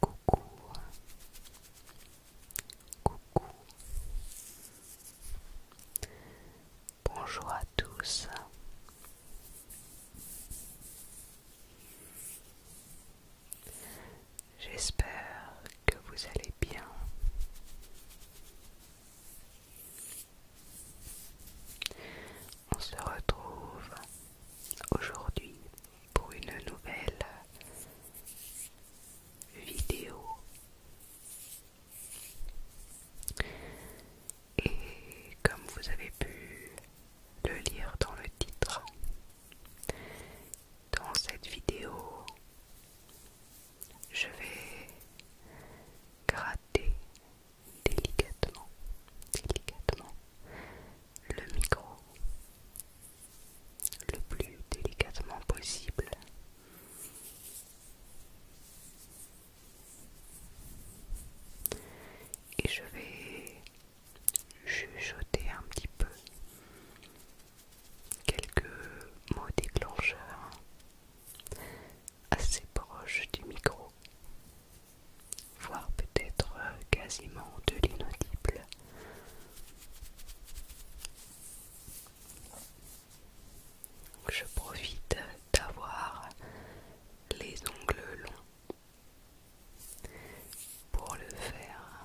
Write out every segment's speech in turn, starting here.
Coucou, coucou, bonjour à tous. J'espère que vous allez bien. On se retrouve aujourd'hui pour une nouvelle vidéo. Et comme vous avez pu le lire dans le titre, dans cette vidéo, je vais gratter délicatement, délicatement le micro le plus délicatement possible. Et je vais jeté un petit peu quelques mots déclencheurs assez proches du micro, voire peut-être quasiment de l'inaudible. Je profite d'avoir les ongles longs pour le faire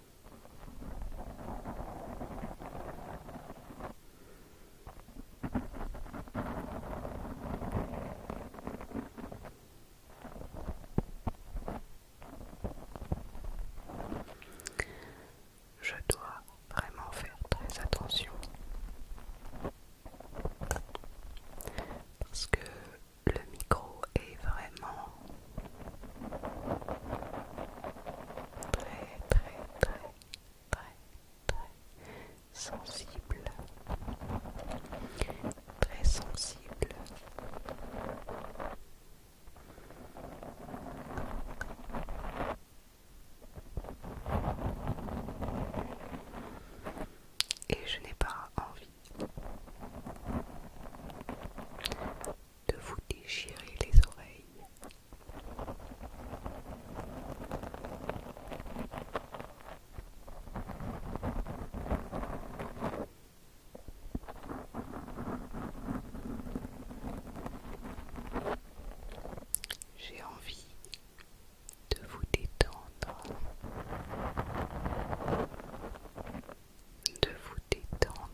Je dois vraiment faire très attention parce que le micro est vraiment très très très très sensible très sensible et je n'ai pas envie de vous déchirer les oreilles. J'ai envie de vous détendre de vous détendre.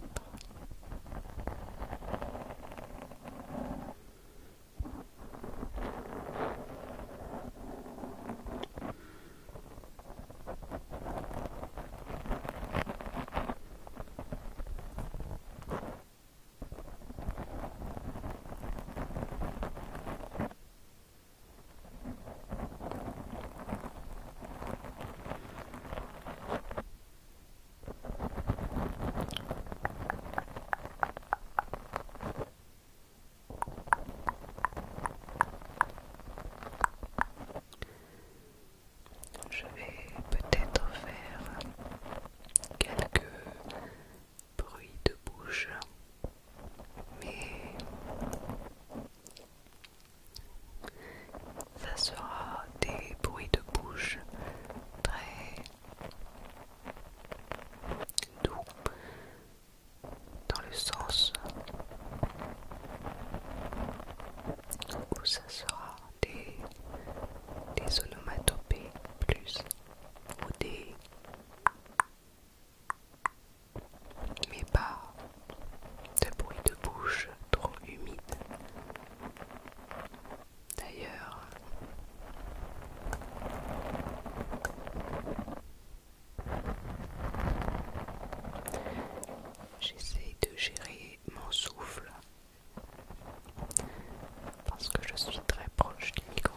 Je vais peut-être faire quelques bruits de bouche, mais ça sera des bruits de bouche très doux dans le sens où ça sera des, onomatopées plus ou des mais pas de bruits de bouche trop humides D'ailleurs, j'essaie de gérer mon souffle parce que je suis très proche du micro.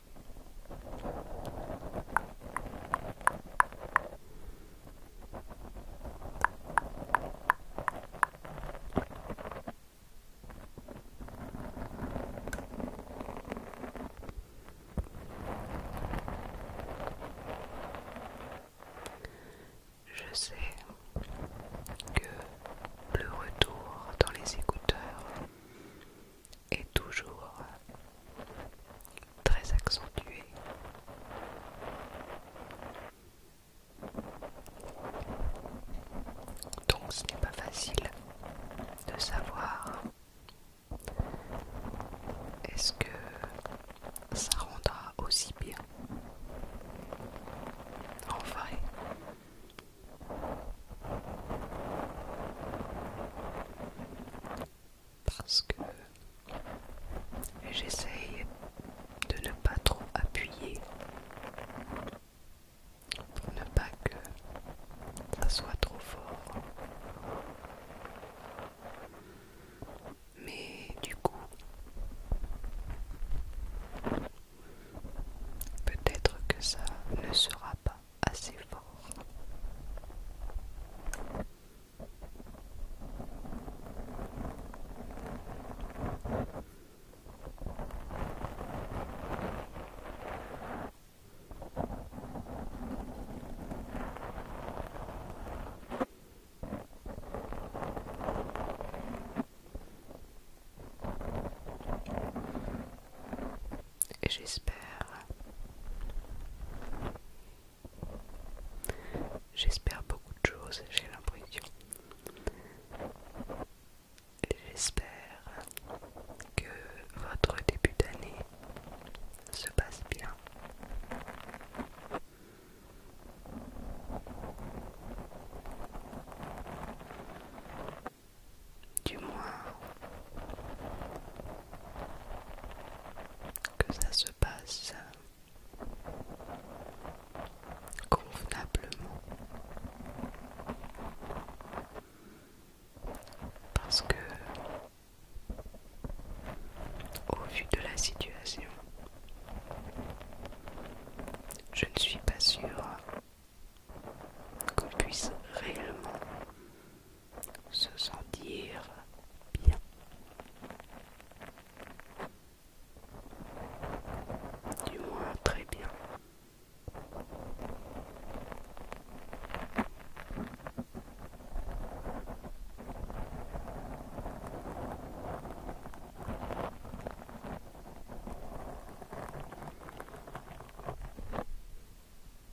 Je sais que le retour dans les écouteurs est toujours très accentué. Donc ce n'est pas facile de savoir est-ce que ça rendra aussi bien en vrai parce que j'essaye de ne pas trop appuyer pour ne pas que ça soit trop fort. Mais du coup, peut-être que ça ne sera pas assez fort. J'espère. J'espère beaucoup de choses, j'ai l'impression. J'espère que votre début d'année se passe bien. Du moins, que ça se passe convenablement parce que au vu de la situation je ne suis pas sûre qu'on puisse réellement se sentir bien. Du moins très bien.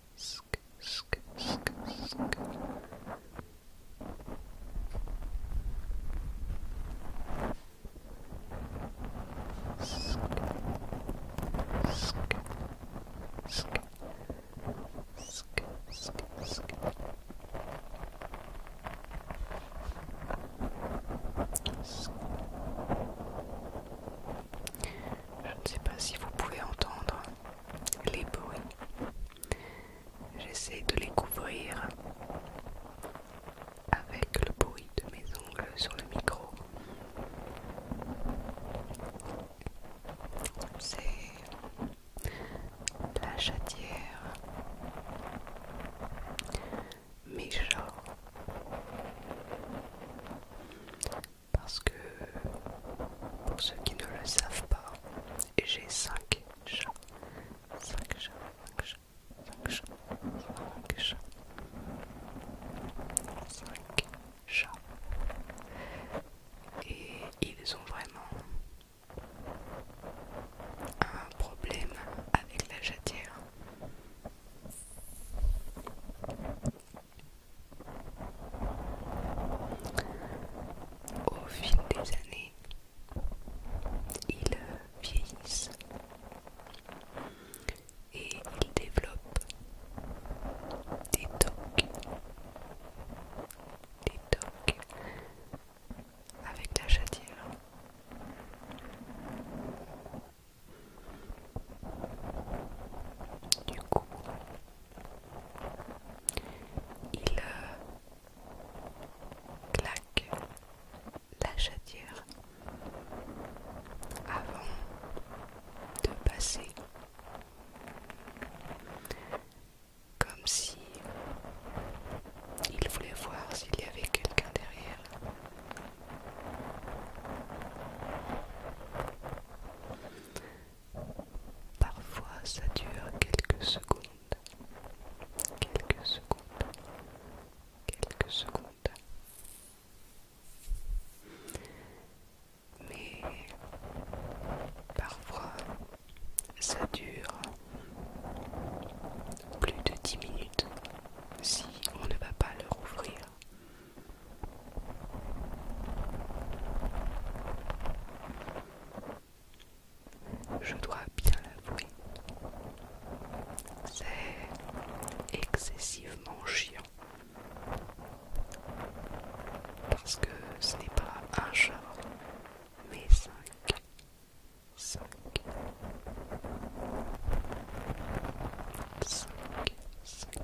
Je ne sais pas si vous pouvez entendre les bruits. J'essaie de les couvrir avec le bruit de mes ongles sur le micro. C'est la chatière, mes parce que pour ceux qui ne le savent pas, j'ai 5 chats. 5 chats, 5 chats, 5 chats, 5 chats. 5 chats. Et ils ont vraiment un problème avec la jatière au fil des années, ils vieillissent et ils développent des toques, des toques avec la chatière. Du coup, il euh, claque la chatière avant de passer comme si il voulait voir s'il y avait quelqu'un derrière. Parfois ça dure quelques secondes. Quelques secondes. Quelques secondes. Mais parfois ça dure plus de 10 minutes si on ne va pas leur ouvrir. Je dois bien l'avouer, c'est excessivement chiant parce que ce n'est pas un chat mais cinq. Cinq. Cinq.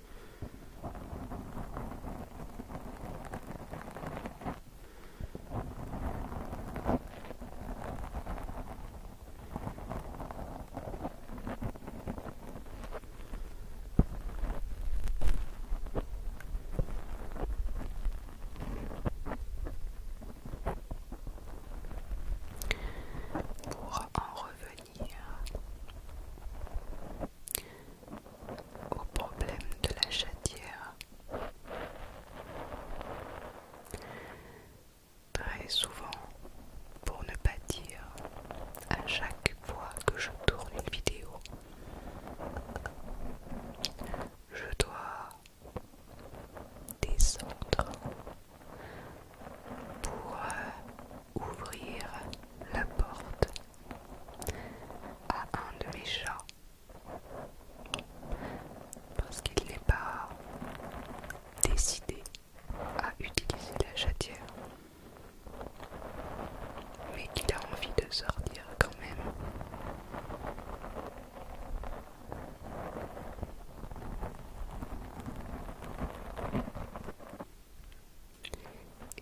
Pour en revenir au problème de la chatière. Très souvent, pour ne pas dire à chaque fois que je tourne une vidéo, je dois descendre pour euh, ouvrir la porte à un de mes chats parce qu'il n'est pas décidé à utiliser la chatière mais qu'il a envie de sortir quand même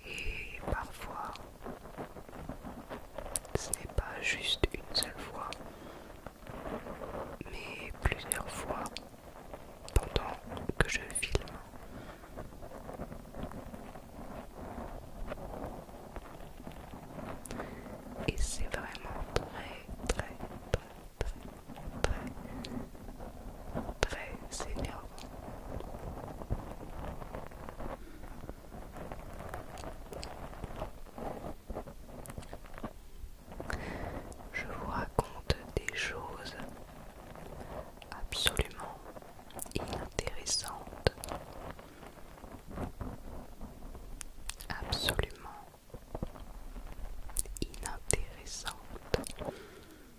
et parfois, ce n'est pas juste une seule fois, mais plusieurs fois pendant que je filme. Et c'est vraiment très, très, très, très, très très énervant. Je vous raconte des choses absolument inintéressantes, absolument inintéressantes mais au moins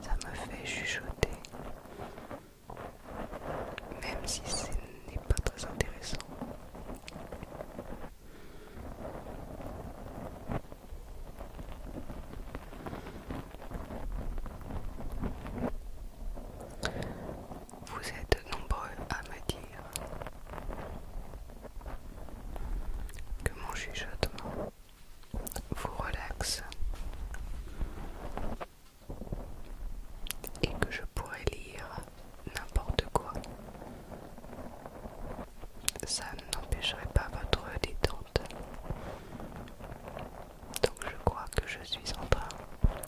ça me fait chuchoter, même si ce n'est pas très intéressant. Vous êtes nombreux à me dire que mon chuchotement vous relaxe et que je pourrais lire n'importe quoi. Ça n'empêcherait pas votre détente. Donc je crois que je suis en train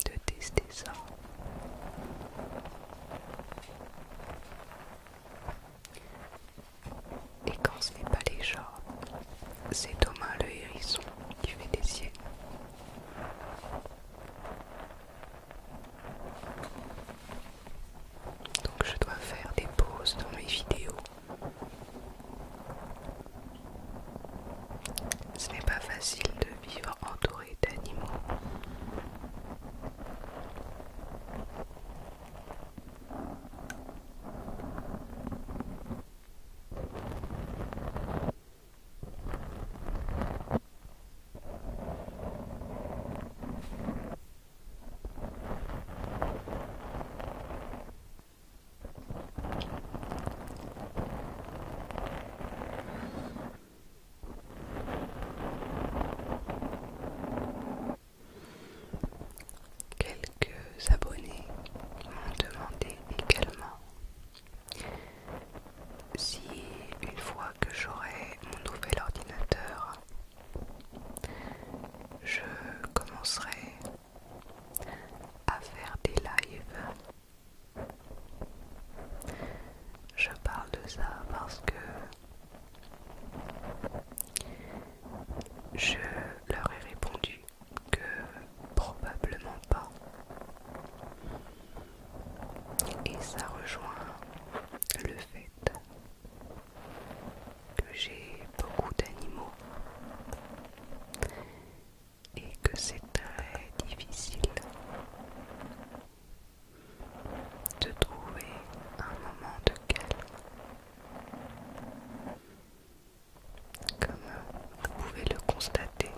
de tester ça. Et quand ce n'est pas les gens, c'est Thomas le hérisson qui fait des siennes. Donc je dois faire des pauses dans mes vidéos. Ce n'est pas facile de vivre entouré d'animaux. Quelques abonnés m'ont demandé également si une fois que j'aurai mon nouvel ordinateur, je commencerai à faire des lives je parle de ça parce que je leur ai répondu que probablement pas. Et ça rejoint le fait que j'ai beaucoup d'animaux et que c'est très difficile de trouver un moment de calme. Comme vous pouvez le constater.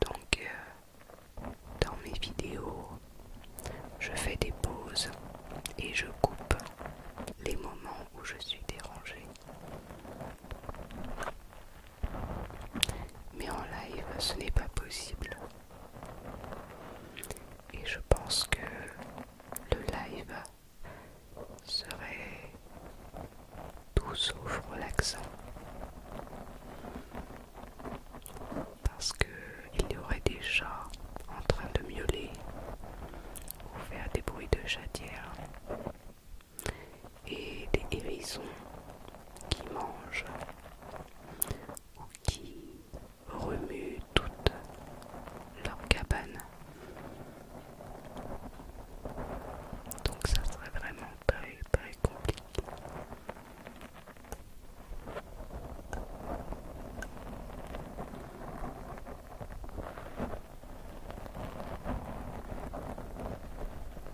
Donc, euh, dans mes vidéos, je fais des pauses et je coupe les moments où je suis dérangée. Mais en live, ce n'est pas possible. Et je pense que le live serait tout sauf relaxant. Parce qu'il y aurait des chats en train de miauler ou faire des bruits de jatière et des hérissons qui mangent ou qui remuent toute leur cabane. Donc ça serait vraiment très très compliqué.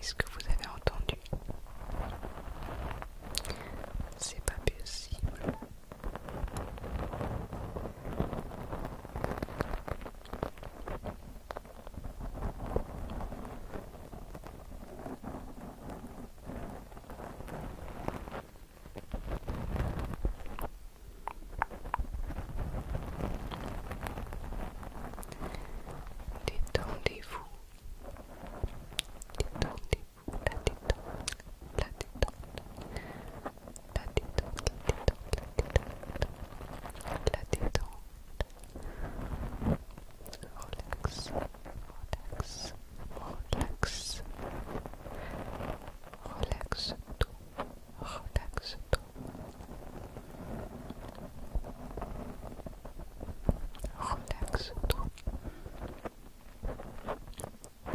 Est-ce que vous avez entendu C'est pas possible. Détendez-vous. Détendez-vous. La détente. La détente. relax, relax, relax, relax, tout, relax, tout. Relax-toi. Relax-toi.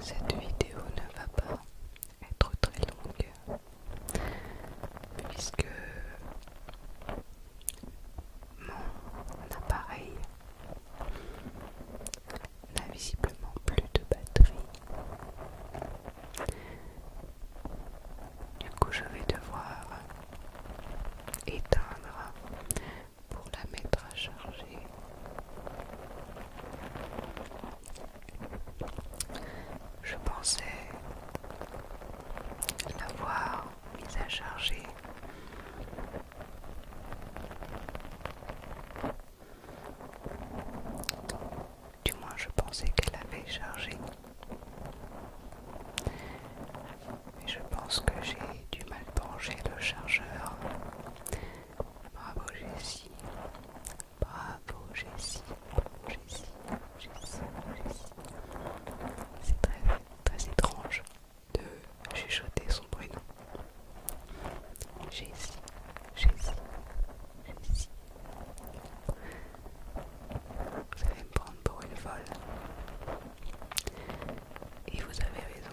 Cette vidéo ne va pas être très longue puisque mon appareil n'a visiblement plus de batterie du coup, je vais devoir éteindre pour la mettre à charger. Je pensais l'avoir mise à charger. Du moins, je pensais qu'elle avait chargé. Mais je pense que j'ai du mal pencher le chargeur. Bravo Jessie. Bravo Jessie. Jessie. Jessie. C'est très, très étrange de chuchoter son prénom. Jessie. Jessie même si vous allez me prendre pour une folle. Et vous avez raison.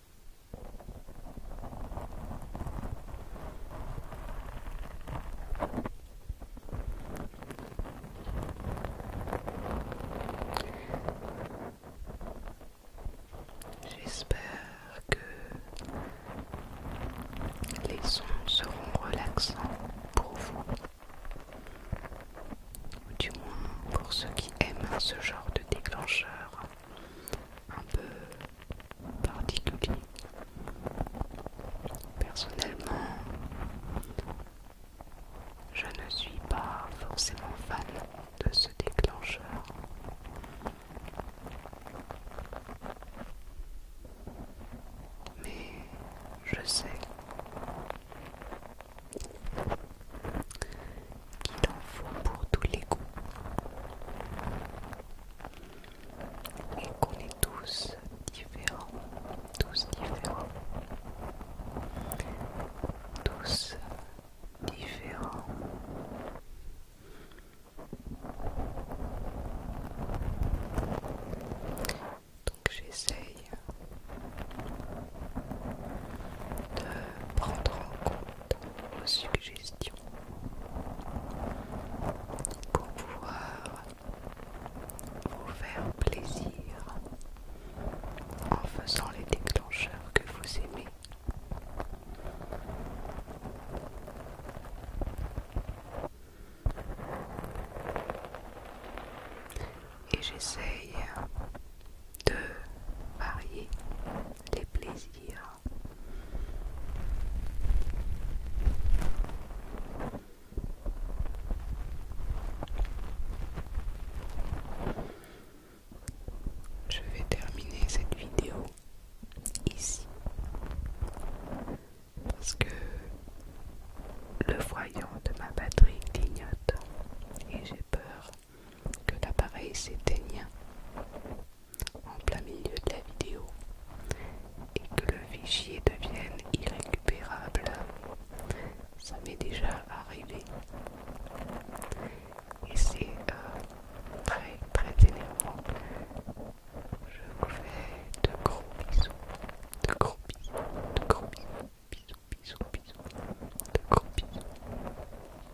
J'espère que les sons seront relaxants pour vous, ou du moins pour ceux qui aiment ce genre de déclencheur un peu particulier. Personnellement, je ne suis pas forcément fan de ce déclencheur. Mais je sais qu'il en faut pour tous les goûts et qu'on est tous différents, tous différents, tous différents. Donc j'essaye de prendre en compte vos suggestions pour pouvoir vous faire plaisir en faisant les déclencheurs que vous aimez. Et j'essaye de varier les plaisirs. Je vais terminer cette vidéo ici parce que le voyant de ma batterie clignote et j'ai peur que l'appareil s'éteigne en plein milieu de la vidéo et que le fichier devienne irrécupérable. Ça m'est déjà arrivé. Et c'est euh, très très énervant. Je vous fais de gros bisous. De gros bisous. De gros bisous. Bisous, bisous, bisous de copie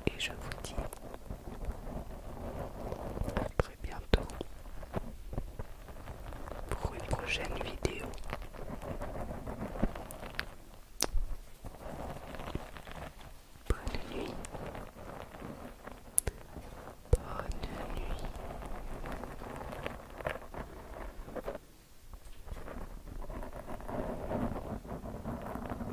et je vous dis à très bientôt pour une prochaine vidéo. Bonne nuit. Bonne nuit.